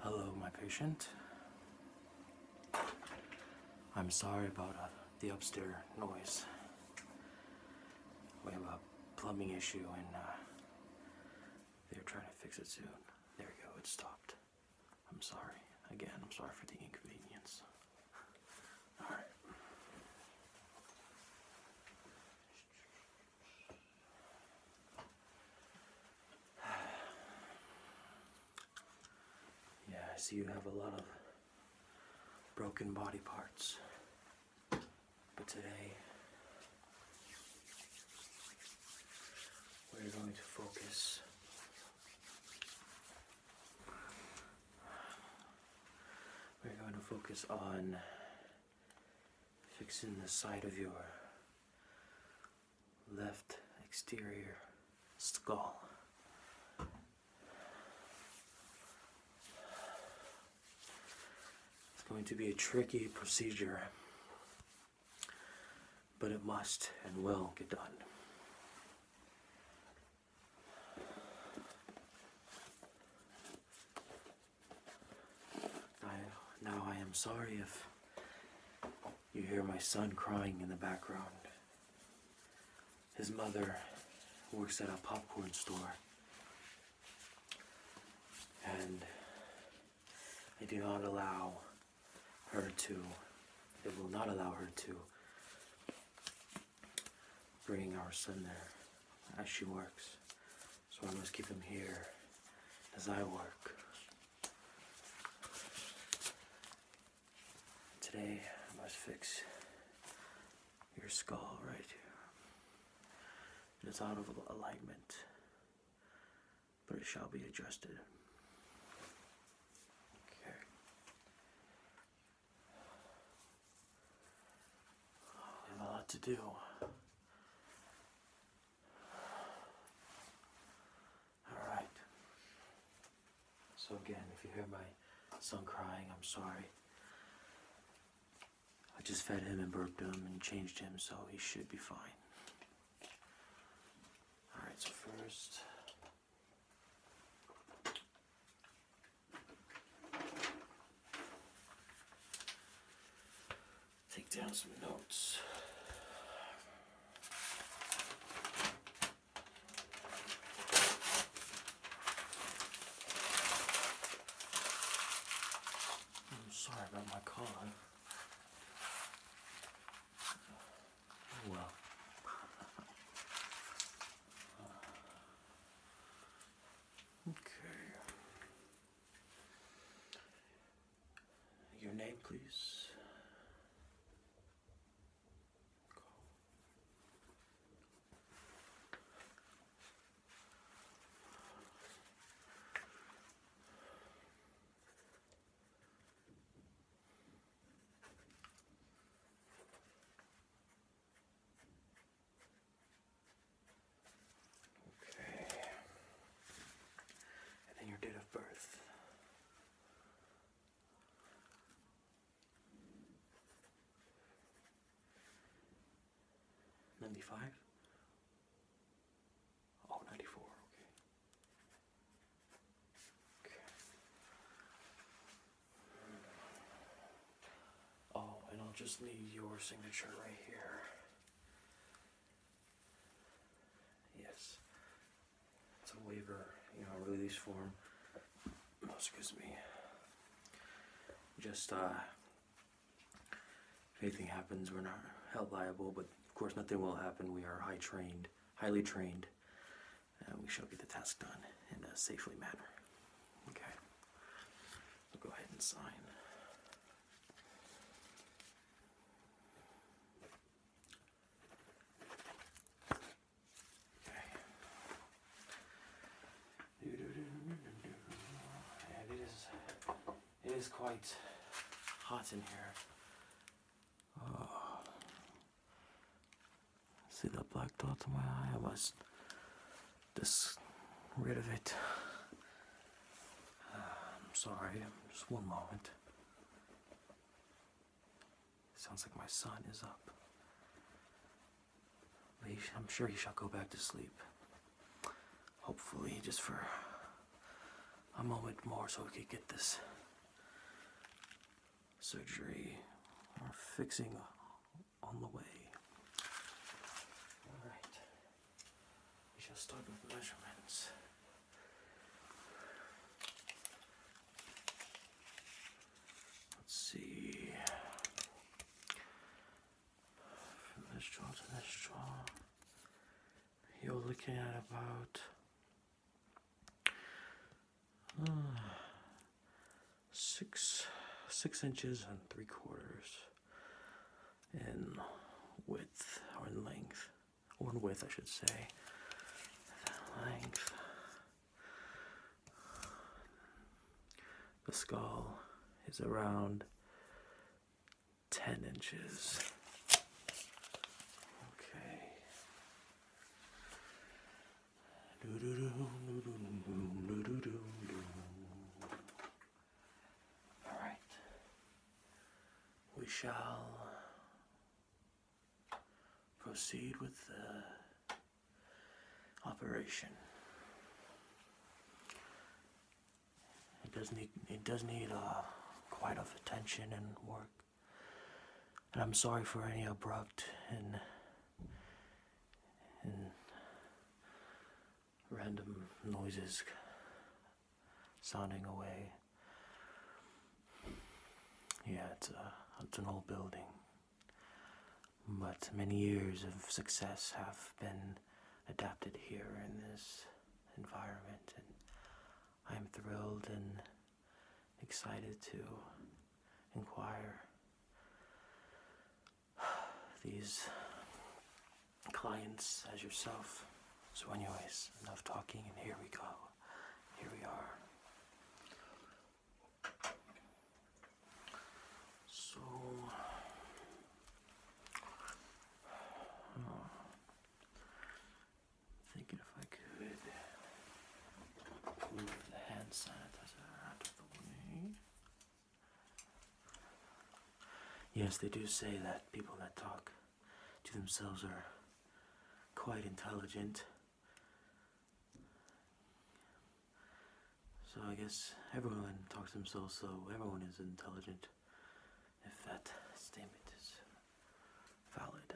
Hello, my patient. I'm sorry about uh, the upstairs noise. We have a plumbing issue and uh, they're trying to fix it soon. There we go, it stopped. I'm sorry. Again, I'm sorry for the inconvenience. Yeah, I see you have a lot of broken body parts. But today, we're going to focus we're going to focus on fixing the side of your left exterior skull. It's going to be a tricky procedure, but it must and will get done now I am sorry if you hear my son crying in the background. His mother works at a popcorn store. And I do not allow her to, it will not allow her to bringing our son there as she works. So I must keep him here as I work. Today I must fix your skull right here. It is out of alignment, but it shall be adjusted. Okay. You have a lot to do. Alright. So again, if you hear my son crying, I'm sorry. I just fed him and burped him and changed him, so he should be fine. Alright, so first... Take down some notes. I'm sorry about my collar well. Okay. Your name, please. Okay. And then your date of birth. Ninety-five? Oh, ninety-four, okay. Oh, and I'll just need your signature right here. Yes. It's a waiver, you know, release form. Oh, excuse me. Just, uh, if anything happens, we're not held liable, but of course nothing will happen. We are high trained, highly trained uh, we shall get the task done in a safely manner. Okay. We'll go ahead and sign. Okay. it is, it is quite hot in here. Oh, See that black dot in my eye? I must just rid of it. I'm sorry, just one moment. Sounds like my son is up. I'm sure he shall go back to sleep. Hopefully, just for a moment more so we could get this surgery or fixing on the way. Alright, we shall start with the measurements. Let's see. this jaw this jaw, you're looking at about Ah, six six inches and three quarters in width or in length or in width I should say length the skull is around 10 inches okay all right. We shall proceed with the operation. It does need it does need uh, quite of attention and work. And I'm sorry for any abrupt and and random noises sounding away. Yeah, it's, uh, it's an old building, but many years of success have been adapted here in this environment, and I'm thrilled and excited to inquire these clients as yourself. So, anyways, enough talking, and here we go. Here we are. So, hmm. thinking if I could Yes, they do say that people that talk to themselves are quite intelligent. So I guess everyone talks to themselves, so everyone is intelligent if that statement is valid.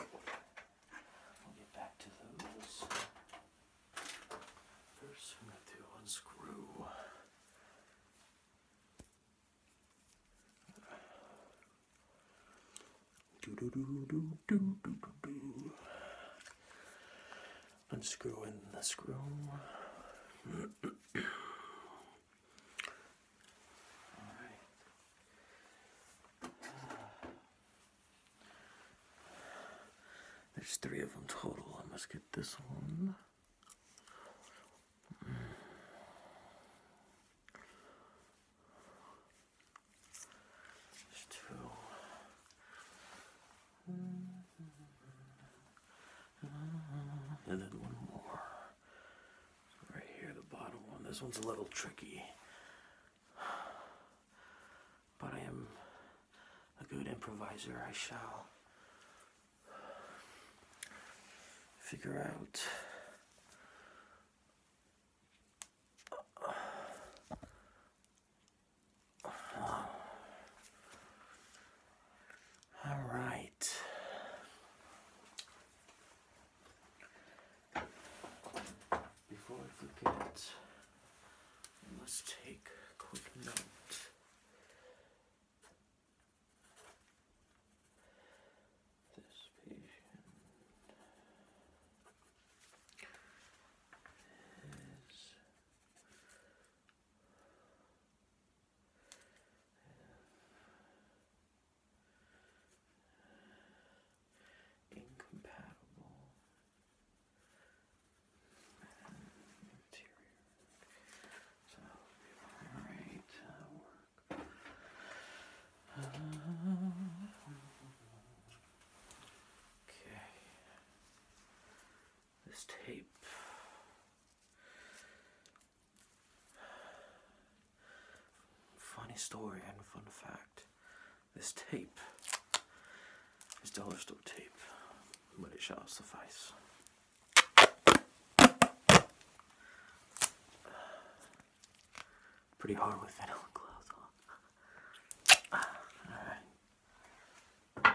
Alright. We'll get back to those. First, I'm going to unscrew. Do, do, do, do, do, do, do, do. Unscrewing the screw. There's three of them total. I must get this one. There's two. And then one more. Right here, the bottom one. This one's a little tricky. But I am a good improviser. I shall figure out All right. Before I forget, I must take a quick note. This patient is Incompatible So all right uh, okay. This tape Funny story and fun fact. This tape this dollar store tape, but it shall suffice. Pretty hard with vanilla clothes, on. Alright.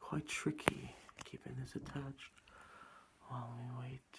Quite tricky keeping this attached while we wait.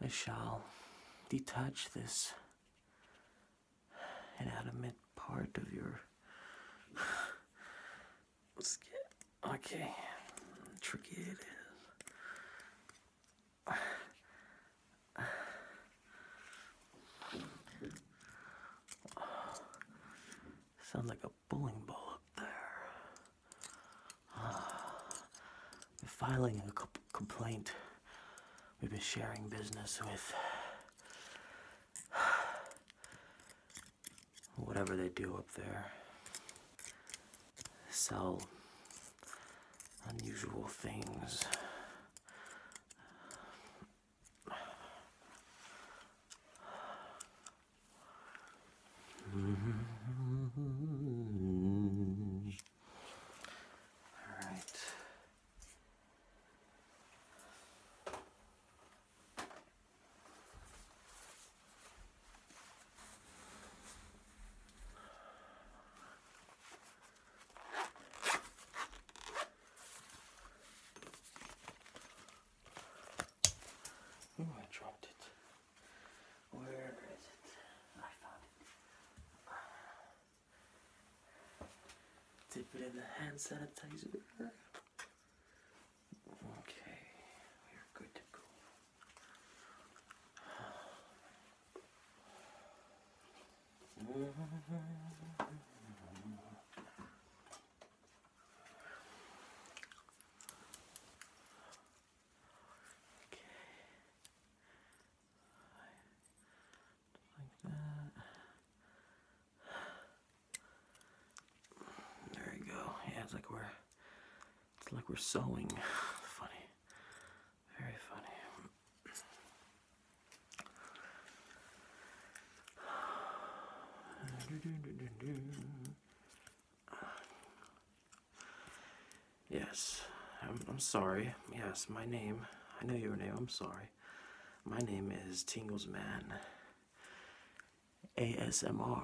I shall detach this an adamant part of your skin. Okay, tricky it is. Sounds like a bowling ball up there. Uh, filing a complaint. We've been sharing business with whatever they do up there. Sell unusual things. All right. I dropped it. Where is it? I found it. Dip it in the hand sanitizer. Okay, we are good to go. Okay. Like that. There you go. it's like we're it's like we're sewing. Funny. Very funny. Yes, I'm, I'm sorry. Yes, my name. I know your name. I'm sorry. My name is Tingles Man. ASMR.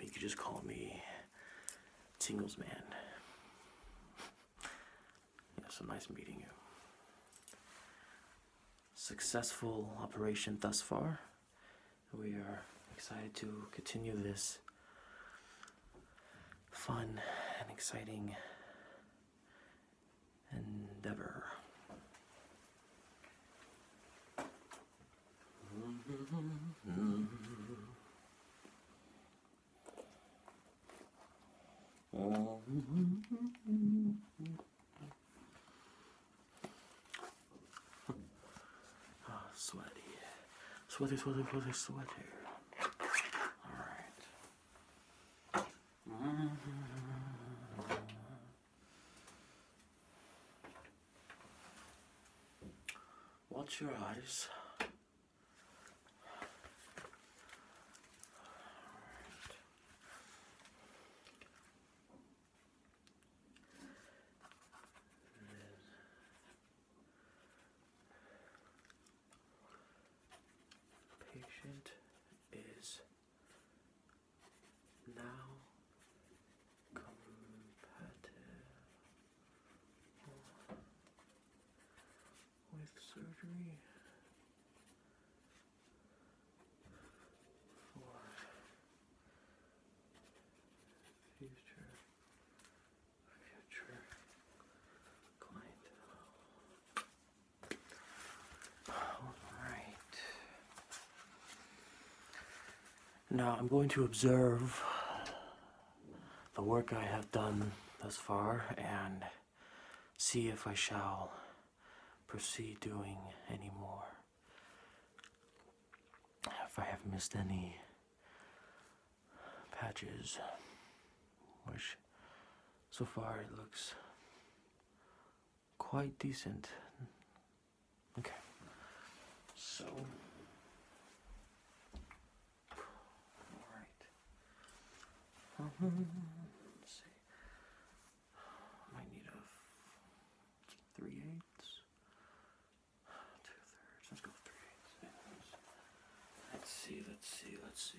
You could just call me Tingles Man. It's a nice meeting you. Successful operation thus far. We are excited to continue this fun and exciting endeavor. oh, sweaty. Sweaty, sweaty, sweaty, sweaty. All right. Watch your eyes. Patient is now compatible with surgery for future future clientele. Now I'm going to observe the work I have done thus far and see if I shall proceed doing any more. If I have missed any patches, which so far it looks quite decent. Okay. So. Alright. Um, let's see. Might need a three eighths. Two thirds. Let's go three eighths. Let's see, let's see, let's see.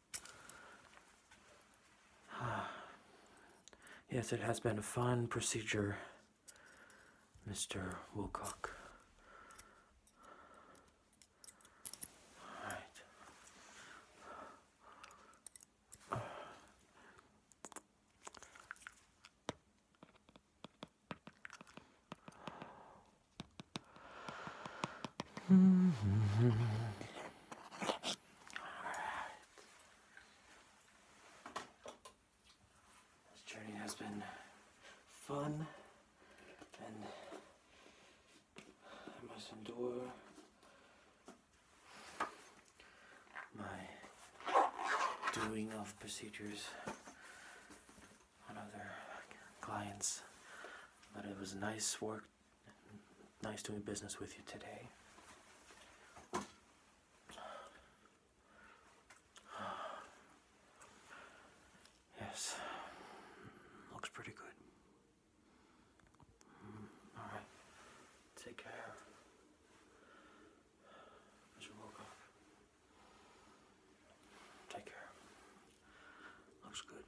yes, it has been a fun procedure, Mr. Wilcock. This journey has been fun and I must endure my doing of procedures on other clients. But it was nice work. Nice doing business with you today. Yes. Looks pretty good. Mm, all right. Take care. Mr. Wilcox. Take care. Looks good.